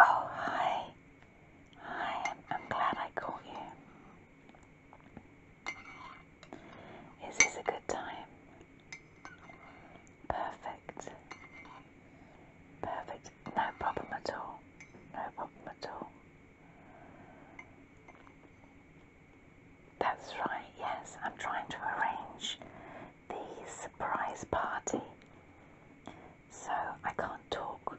Oh, hi. Hi, I'm, glad I caught you. Is this a good time? Perfect. Perfect. No problem at all. No problem at all. That's right, yes, I'm trying to arrange the surprise party. So I can't talk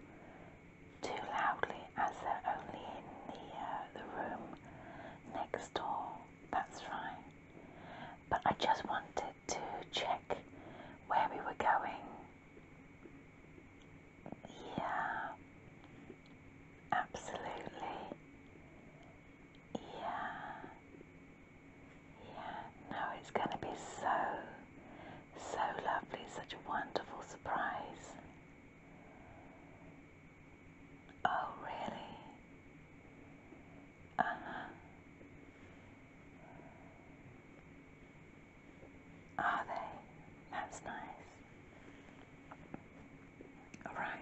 too loudly as they're only in the, uh, the room next door. That's right. But I just wanted to check where we were going. Yeah, absolutely. Yeah. Yeah. No, it's going to be so, so lovely. Such a wonderful surprise. Oh, really? Uh huh. Are they? That's nice. All right.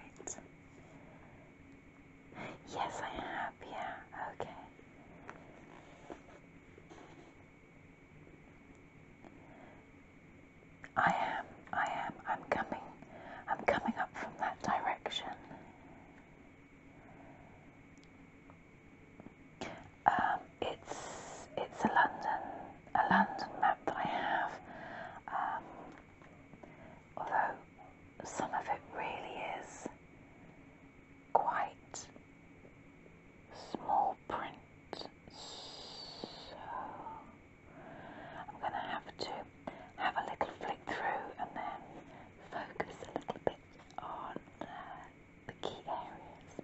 Yes, I have. Yeah, okay. I am, I am, I'm coming, I'm coming up from that direction. Um, it's, it's a London, a London map that I have. Um, although some of it really is quite small print. So I'm going to have to have a little flick through and then focus a little bit on uh, the key areas.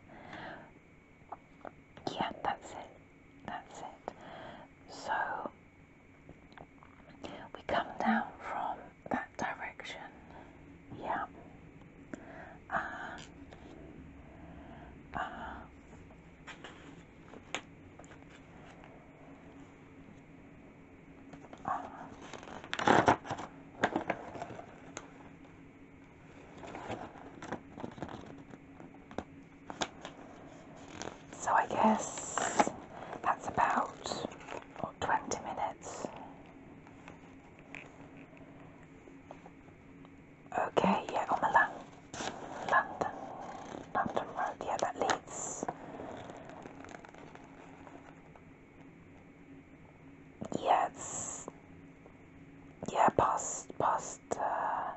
Yeah, that's it. That's it. So we come down from that direction, yeah, uh, uh, so I guess that's about 20 minutes. Okay, yeah, on the Lon London, London Road, yeah, that leads. Yeah, yeah, past, past, uh,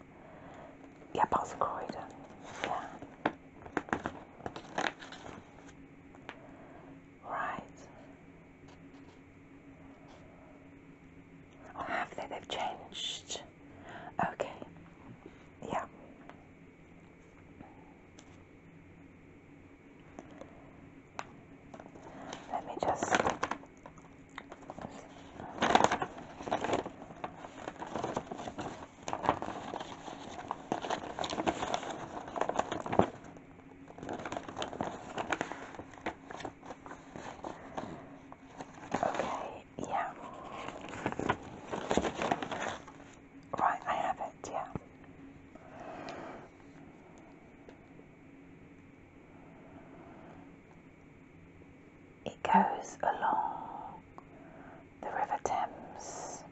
yeah, past Croydon, yeah. Right. Oh, have they? They've changed. Okay. Yeah. Let me just. Okay, yeah. Right, I have it, yeah. It goes along the River Thames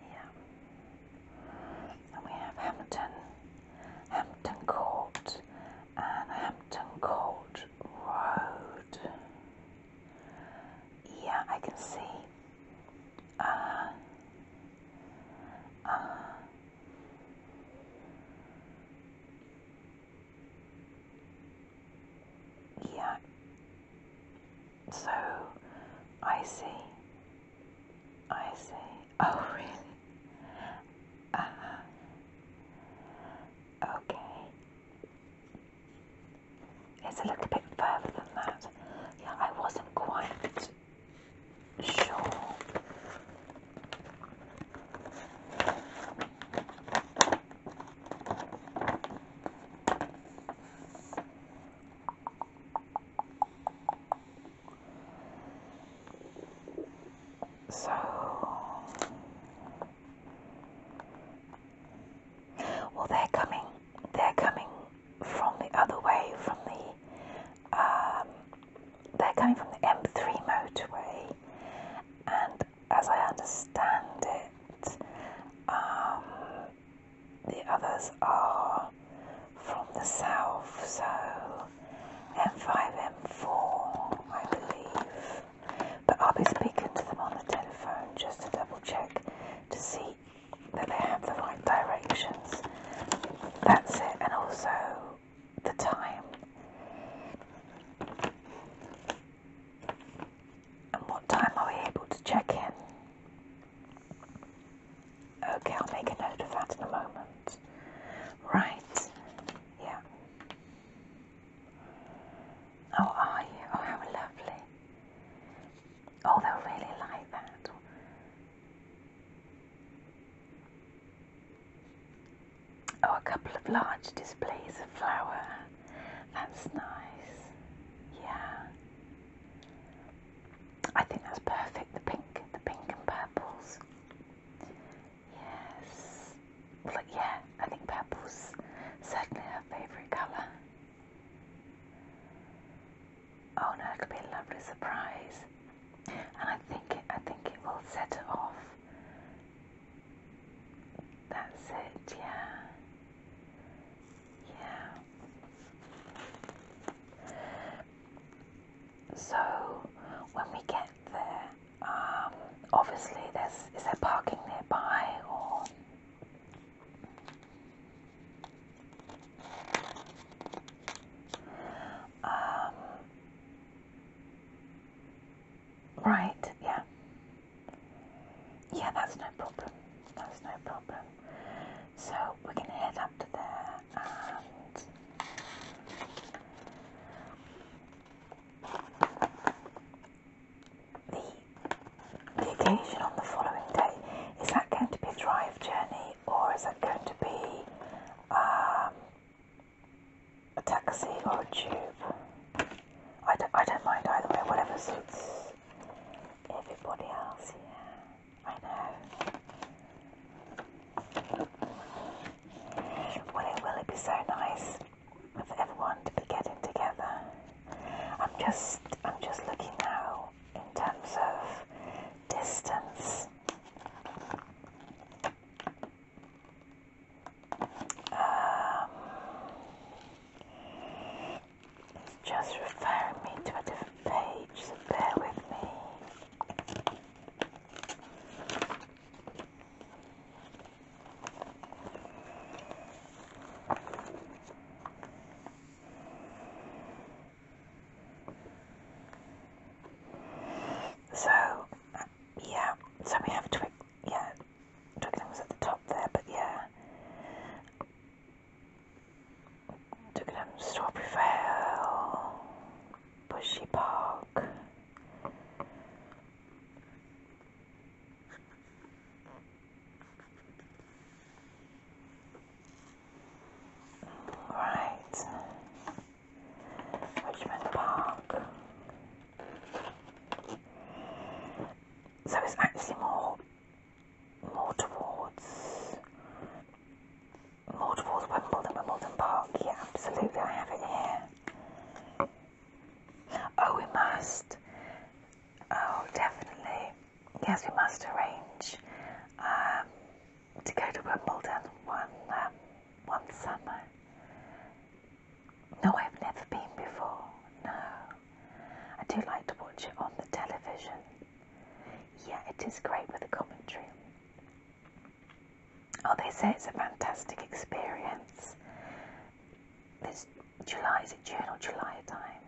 yeah. And we have Hampton, Hampton Court and Hampton Court Road. Yeah, I can see. Uh, uh, yeah. So, I see. I see. Oh, really? Uh Okay. It's a little bit further than that. Yeah, I wasn't quite sure. So, well, they're coming. They're coming from the other way, from the. Um, they're coming from the M3 motorway, and as I understand it, um, the others are from the south, so M5, M4, I believe. But I'll be speaking to them on the telephone just to double check to see that they have the right directions. That's it, and also the time. And what time are we able to check in? Okay, I'll make a note of that in a moment. Right, yeah. Oh, are you? Oh, how lovely. Oh, they'll really like that. Oh, a couple of large displays of flower. That's nice. Yeah. I think that's perfect. The pink, the pink and purples. Yes. Well, yeah, I think purple's certainly her favourite colour. Oh no, it could be a lovely surprise. And I think it, I think it will set it off that's it, yeah. Yeah. So when we get there, um, obviously there's is there parking nearby or um Right, yeah. Yeah, that's no problem. That's no problem. So we're going to head up to there and. The, the occasion on the following day, is that going to be a drive journey or is that going to be um, a taxi or a tube. I don't, I don't mind either way, whatever suits everybody else, yeah. I know. Will it, will it be so nice for everyone to be getting together? I'm just, I'm just looking now in terms of distance. Um, it's just referring me to a different page, so bear with me. So, uh, yeah, so we have twigs yeah, Juggling was at the top there, but yeah. Twickenham, Strawberry Vale, Bushy Park. Right, Richmond Park. So it's actually more more towards more towards Wimbledon, Wimbledon Park. Yeah, absolutely. I have it here. Oh, we must. Oh, definitely. Yes, we must arrange um, to go to Wimbledon one um, one summer. No, I've never been before. No. I do like to watch it on the television. Yeah, it is great with the commentary. Oh, they say it's a fantastic experience. This July, is it June or July time?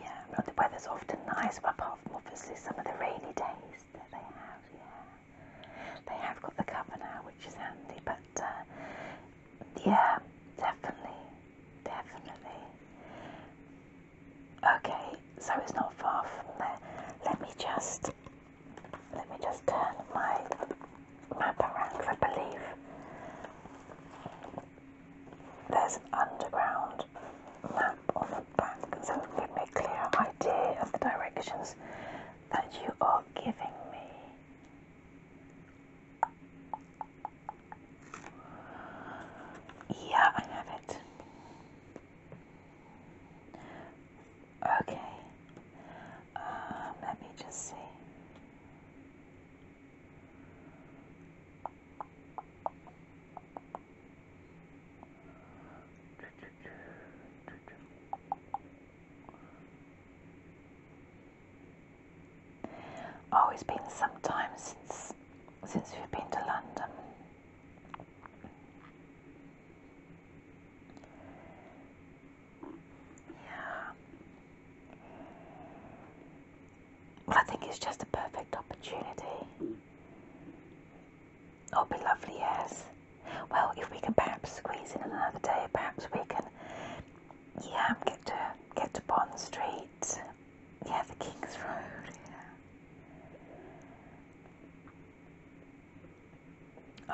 Yeah, well, the weather's often nice, apart from obviously some of the rainy days that they have, yeah. They have got the cover now, which is handy, but uh, yeah, definitely, definitely. Okay, so it's not far from there. Let me just, let me just turn my map around, I believe there's an underground map on the back, so it will give me a clear idea of the directions that you are giving me. Yeah, I have it. Okay. Um, let me just see. Oh, it's been some time since since we've been to London. Yeah. Well, I think it's just a perfect opportunity. Oh, be lovely, yes. Well, if we can perhaps squeeze in another day, perhaps we can, yeah, get to get to Bond Street, yeah, the King's Road,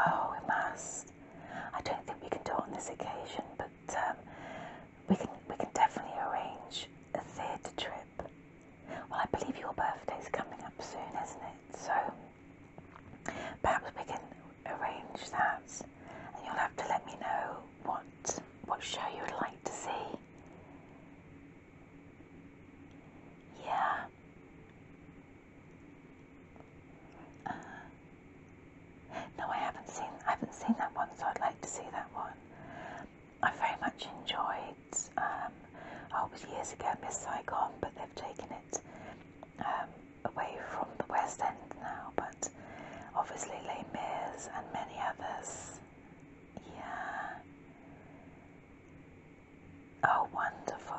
Oh, we must. I don't think we can do it on this occasion, but um, we can we can definitely arrange a theatre trip. Well, I believe your birthday is coming up soon, isn't it? So. Perhaps we can arrange that, and you'll have to let me know what what show you would like to see. Yeah. Uh, no, I haven't seen. I haven't seen that one, so I'd like to see that one. I very much enjoyed. Um, oh, it was years ago, Miss Saigon, but they've taken it um, away from the West End now, but obviously Les Mis and many others. Yeah. Oh, wonderful.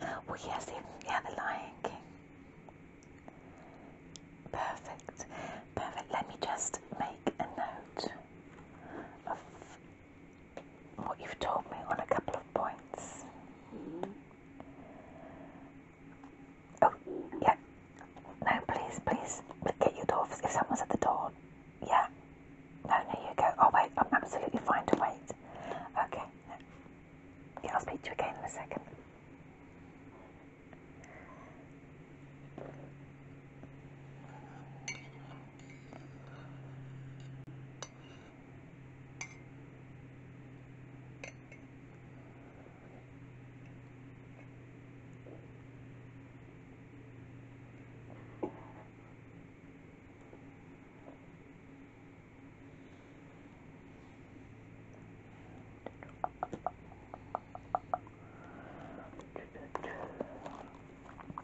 Well, yes, yeah, The Lion King. Perfect, perfect. Let me just make a note of what you've told me on a couple of points. Mm-hmm. Oh, yeah. No, please, please, get your door. If someone's at the door, yeah. No, no, you go. Oh, wait, I'm absolutely fine to wait. Okay. Yeah, I'll speak to you again in a second.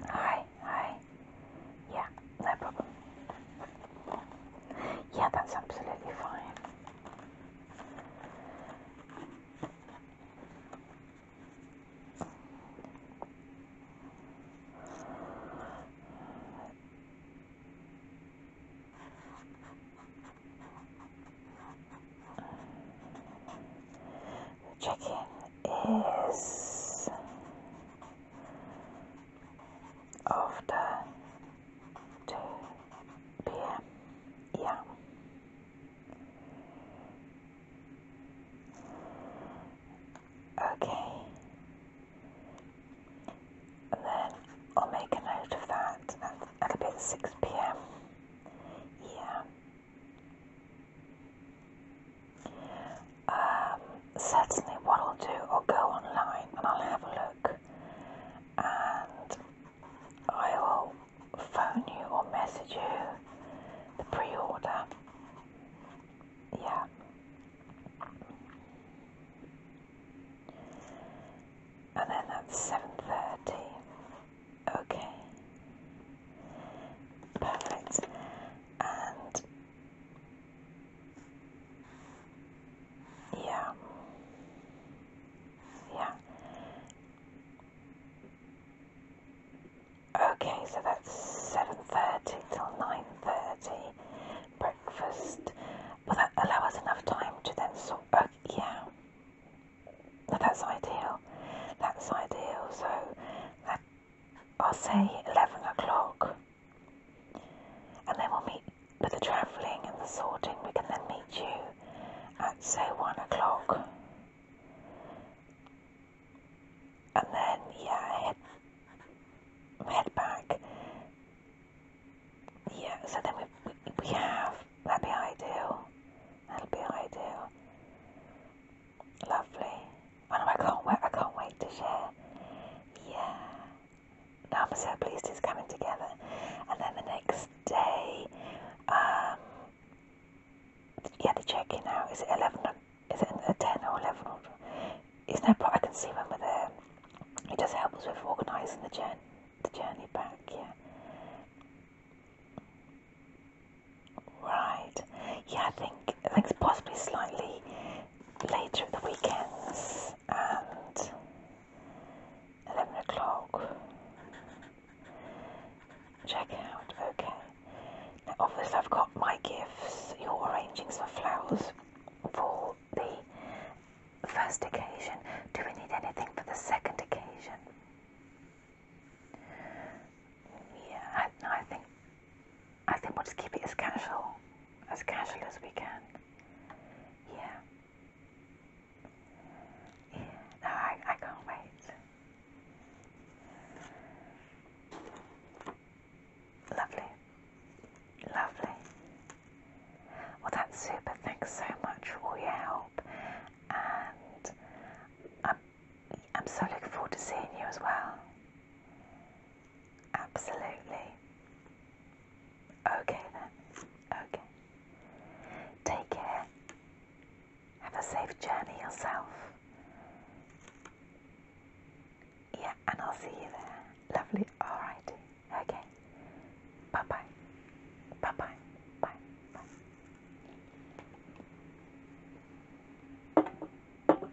Hi, hi. Yeah, no problem. Yeah, that's absolutely fine. Checking is after 2 p.m. Yeah. Okay. And then I'll make a note of that. That's, that'll be at 6 p.m. Yeah. Um, certainly what I'll do, I'll go online and I'll have a look and I will phone you or message you the pre-order. Yeah. And then that's 7.30. Okay. Perfect. And yeah. Yeah. Okay, so that's 7.30 till 9.30 breakfast. Will that allow us enough time to then sort? Uh, yeah. No, that's ideal. That's ideal. So that, I'll say 11 o'clock. And then we'll meet with the travelling and the sorting. We can then meet you at, say, one o'clock. And then, yeah, head, head back. Yeah, so then we, we, have, that'd be ideal. That'll be ideal. Lovely. I oh, I can't wait. I can't wait to share. Yeah. Now I'm so pleased it's coming together. And then the next day, um, yeah, the check-in now is it eleven? Is it ten or eleven? Or, it's no problem. I can see when we're there. It does help us with organising the journey, the journey back. Yeah. Right. Yeah, I think I think it's possibly slightly later at the weekends and 11 o'clock. Check out, okay. obviously, I've got my gifts, You're arranging some flowers for the first occasion. Do we need anything for the second occasion? Yeah, I think I think we'll just keep it as casual, as casual as we can. Yeah. Yeah. No, I, I can't wait. Lovely. Lovely. Well, that's super. Thanks so much for all your help, and I'm I'm so looking forward to seeing you as well. Absolutely. Okay then. Okay. Take care. Have a safe journey yourself. Yeah, and I'll see you there. Lovely. Alright. Okay. Bye bye. Bye bye. Bye. Bye.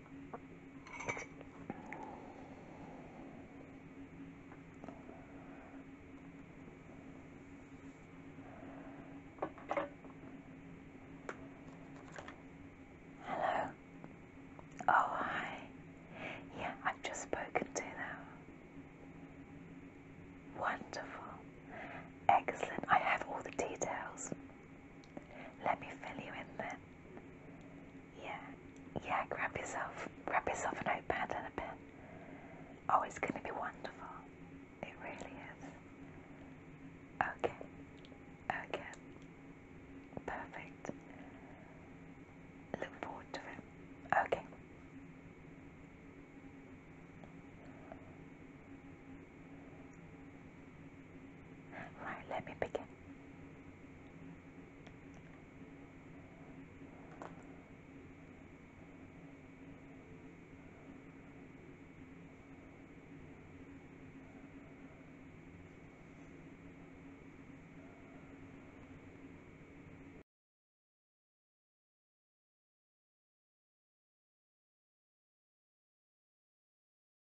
Hello. Oh, hi. Yeah, I've just spoken to them. Wonderful. Excellent. I have all the details. Let me fill you in then. Yeah, yeah, grab yourself, grab yourself a notepad and a pen. Oh, it's going to be wonderful. It really is. Okay, okay. Perfect. Look forward to it. Okay. Right, let me begin.